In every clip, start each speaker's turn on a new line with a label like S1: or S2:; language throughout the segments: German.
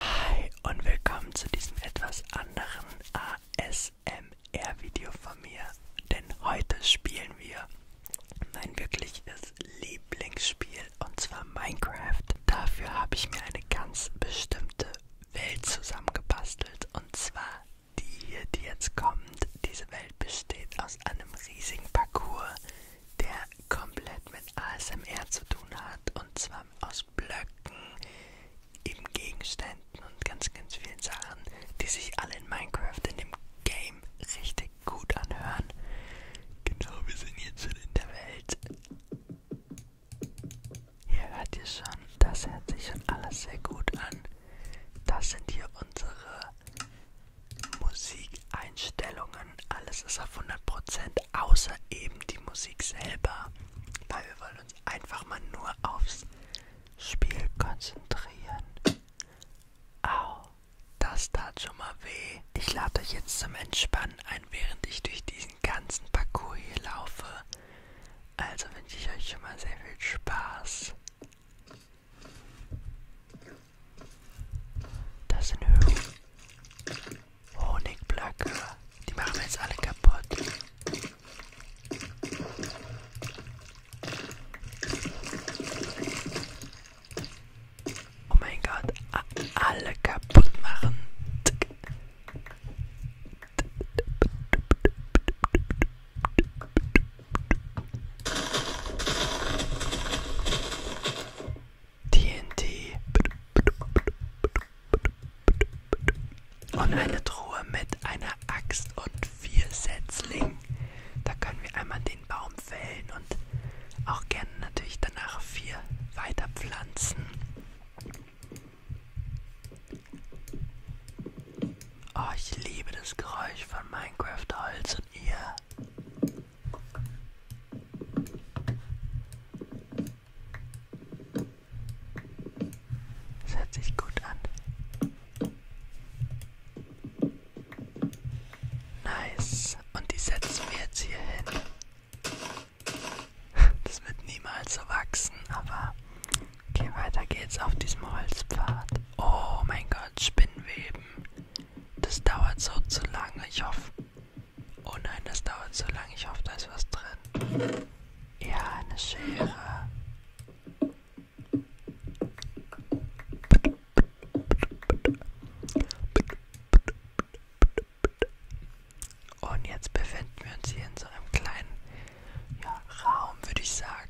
S1: Hi und willkommen zu diesem etwas anderen ASMR-Video von mir. Denn heute spielen wir mein wirkliches Lieblingsspiel und zwar Minecraft. Dafür habe ich mir eine ganz bestimmte Welt zusammengebastelt und zwar die hier, die jetzt kommt. Diese Welt besteht aus einem riesigen Parcours, der komplett mit ASMR zu tun hat gemacht und zwar aus Blöcken, eben Gegenständen und ganz, ganz vielen Sachen, die sich alle in Minecraft in dem Game richtig gut anhören. Genau, wir sind jetzt schon in der Welt. Hier hört ihr schon, das hört sich schon alles sehr gut an. Das sind hier unsere Musikeinstellungen. Alles ist auf 100%, außer eben die Musik. Musik selber, weil wir wollen uns einfach mal nur aufs Spiel konzentrieren. Au, das tat schon mal weh. Ich lade euch jetzt zum Entspannen ein, während ich durch diesen ganzen Parcours hier laufe. Also wünsche ich euch schon mal sehr viel Spaß. Das sind Höhen. Honigbblöcke. Oh, Die machen jetzt alle kaputt. Oh mein god, alle kaputt machen. TNT und eine Truhe mit einer Axt und vier Setzlingen. Da können wir einmal den Baum fällen und auch gerne natürlich danach vier weiter pflanzen. Oh, ich liebe das Geräusch von Minecraft Holz und ihr. Das hört sich gut an. Nice. Und die setzen wir jetzt hier hin. Das wird niemals so wachsen, aber okay, weiter geht's auf diesem Holzpfad. Oh mein Gott, Spinnweben. Das dauert so zu lange. Ich hoffe, Oh nein, das dauert so lange. Ich hoffe, da ist was drin. Ja, eine Schere. Und jetzt befinden wir uns hier in so einem kleinen ja, Raum, würde ich sagen.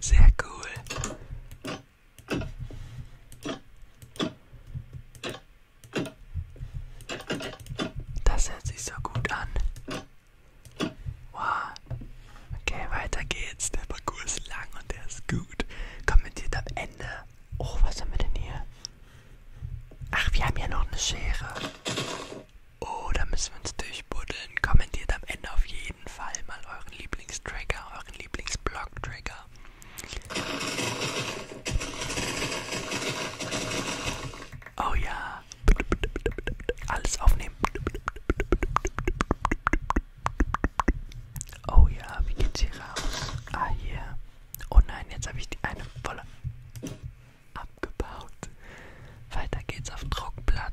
S1: Sehr cool. Das hört sich so gut an. Wow. Okay, weiter geht's. Der Parcours ist lang und der ist gut. Kommentiert am Ende. Oh, was haben wir denn hier? Ach, wir haben ja noch eine Schere. Oh, da müssen wir uns durchbuddeln. Kommentiert am Ende auf jeden Fall mal euren Lieblingstracker, euren Lieblingsblog-Tracker. Oh ja, alles aufnehmen. Oh ja, wie geht's hier raus? Ah, hier. Yeah. Oh nein, jetzt habe ich die eine volle abgebaut. Weiter geht's auf Druckplatten.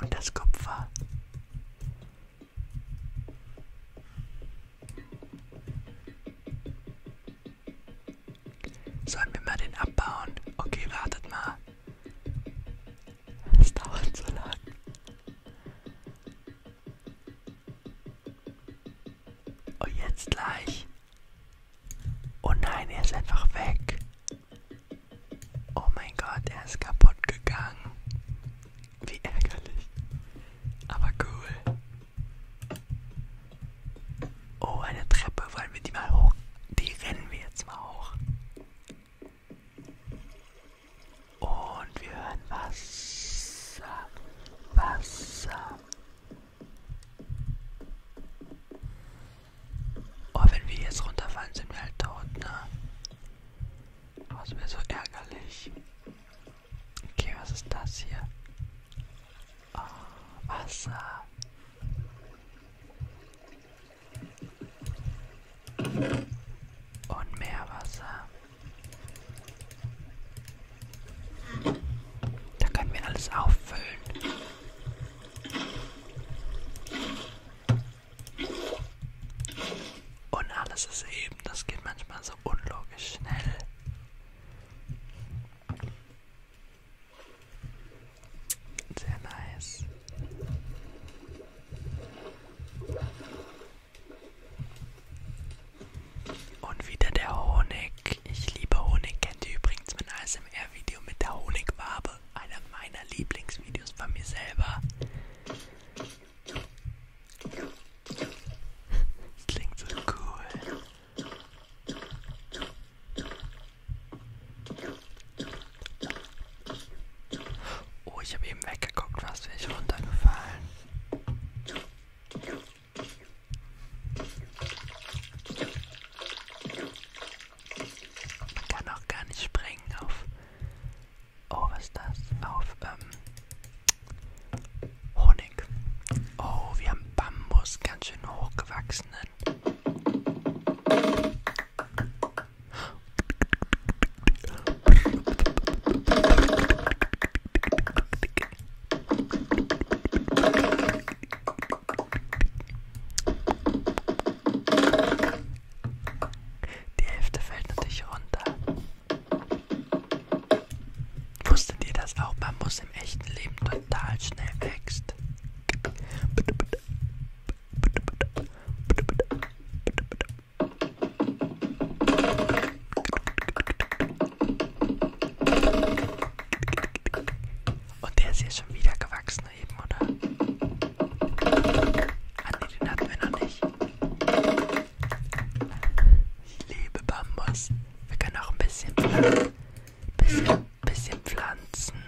S1: Und das Kupfer. Sollen wir mal den abbauen? Okay, wartet mal. Es dauert so lang. Und oh, jetzt gleich. Oh nein, er ist einfach weg. Oh mein Gott, er ist kaputt gegangen. Wie ärgerlich. Aber cool. Oh, eine Treppe. Wollen wir die mal hoch? Die rennen wir jetzt mal hoch. Und wir hören Wasser. Wasser. Oh, wenn wir jetzt runterfallen, sind wir halt tot, ne? Oh, das wäre so ärgerlich. Okay, was ist das hier? Oh, Wasser. Und mehr Wasser. Da können wir alles auffüllen. Und alles ist eben, das geht manchmal so unlogisch schnell. Sehr nice. Und wieder der Honig. Ich liebe Honig. Kennt ihr übrigens mein ASMR-Video mit der Honigwabe? habe. Einer meiner Lieblingsvideos von mir selber. Das klingt so cool. Oh, ich habe eben weggeguckt, was wäre ich runtergefallen. Ich kann auch gar nicht sprengen auf. Oh, was ist das? Auf ähm, Honig. Oh, wir haben Bambus, ganz schön hochgewachsenen. Die Hälfte fällt natürlich runter. Wusstet ihr das auch? Man muss im echten Leben total schnell wächst. Und der ist hier schon wieder gewachsen eben, oder? Ah ne, den hatten wir noch nicht. Ich liebe Bambus. Wir können auch ein bisschen pflanzen. Bisschen, bisschen pflanzen.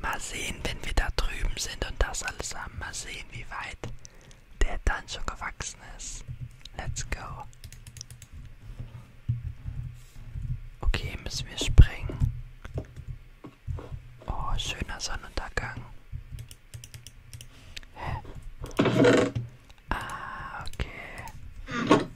S1: Mal sehen, wenn wir da drüben sind und das alles haben. Mal sehen, wie weit der dann schon gewachsen ist. Let's go. Okay, müssen wir springen. Oh, schöner Sonnenuntergang. Hä? Ah, okay.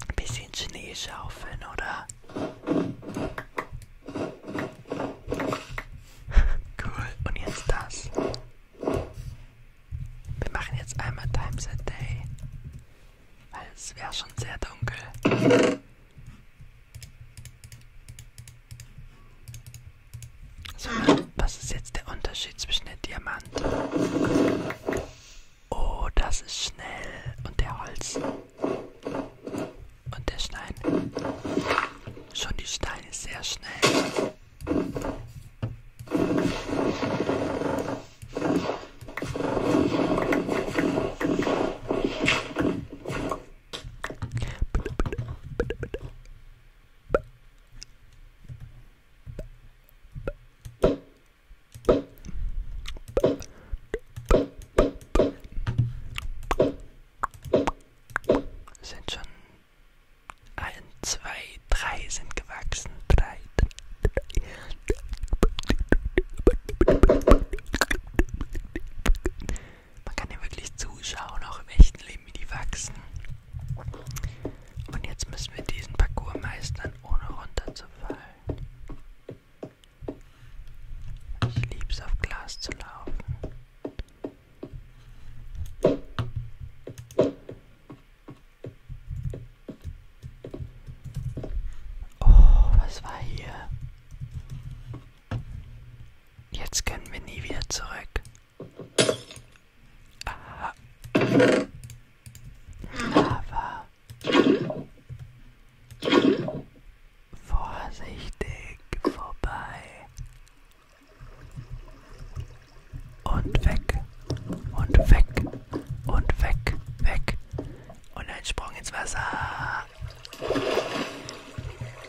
S1: Ein bisschen Schnee schaufeln, oder? Cool, und jetzt das. Wir machen jetzt einmal Times a Day, weil es wäre schon sehr dunkel. So, was ist jetzt der Unterschied zwischen der Diamant? Oh, das ist schnell. Und der Holz. Und der Stein. Schon die Steine sehr schnell. Sind schon ein, zwei, drei sind gewachsen. Drei. drei. Man kann ja wirklich zuschauen, auch im echten Leben, wie die wachsen. Und jetzt müssen wir diesen Parcours meistern, ohne runterzufallen. Ich lieb's auf Glas zu laufen. Oh, was war hier? Jetzt können wir nie wieder zurück. Aha. Aber vorsichtig vorbei und weg und weg und weg, weg und ein Sprung ins Wasser.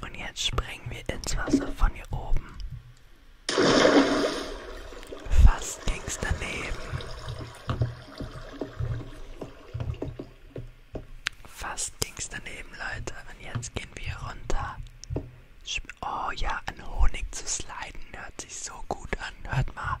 S1: Und jetzt springen wir ins Wasser von hier oben. Fast ging's daneben. Fast ging's daneben, Leute. Und jetzt gehen wir runter. Oh ja, an Honig zu sliden hört sich so gut an. Hört mal.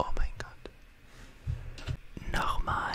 S1: Oh mein Gott. Nochmal.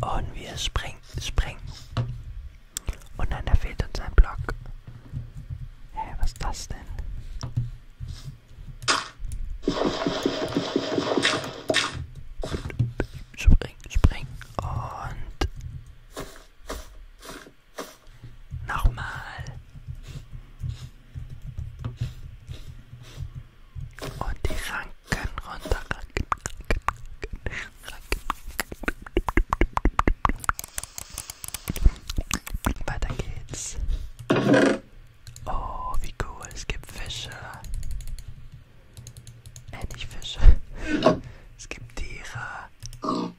S1: Und wir springen, springen. Und dann da fehlt uns ein Block. Hä, hey, was ist das denn? Spring, spring und Nochmal. Und die Ranken runter. Ranken, Ranken, Ranken. Weiter geht's. Oh, wie cool. Es gibt Fische. Äh, nicht Fische. Es gibt Tiere.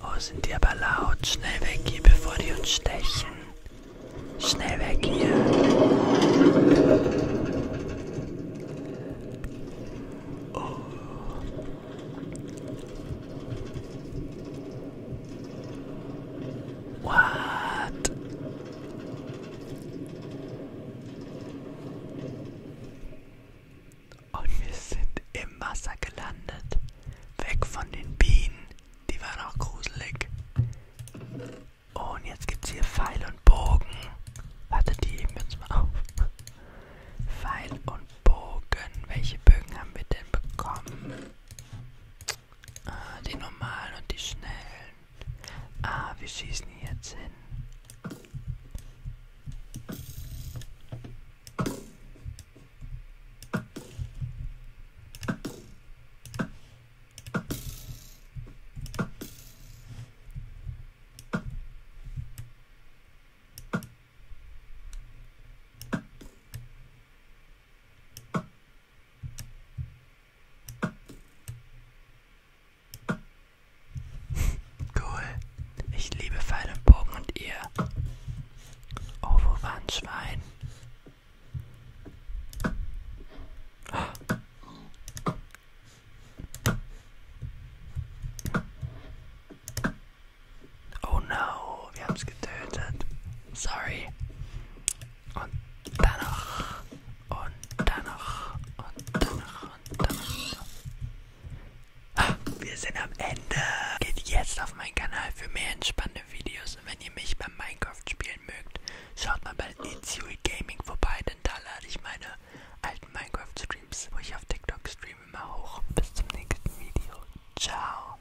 S1: Oh, sind die aber laut. Schnell weg hier, bevor die uns stechen. Schnell weg hier. Oh. What? Und wir sind im Wasser gelandet. Weg von den Bienen. Die waren auch gruselig. Und jetzt gibt's hier Pfeil und Bogen. Warte, die heben wir uns mal auf. Pfeil und Bogen. Welche Bögen haben wir denn bekommen? Ah, die normalen und die schnellen. Ah, wir schießen hier jetzt hin. Cool. Ich liebe Pfeil und Bogen und ihr. Oh, wo war ein Schwein? Oh no, wir haben es getötet. Sorry. Und danach. Und danach. Und danach. Und danach. Ah, wir sind am Ende. Geht jetzt auf meinen Kanal für mehr entspannte Videos. Und wenn ihr mich beim Minecraft spielen mögt, schaut mal bei Itzui Gaming vorbei, denn da lade ich meine alten Minecraft-Streams, wo ich auf TikTok streame, immer hoch. Bis zum nächsten Video. Ciao.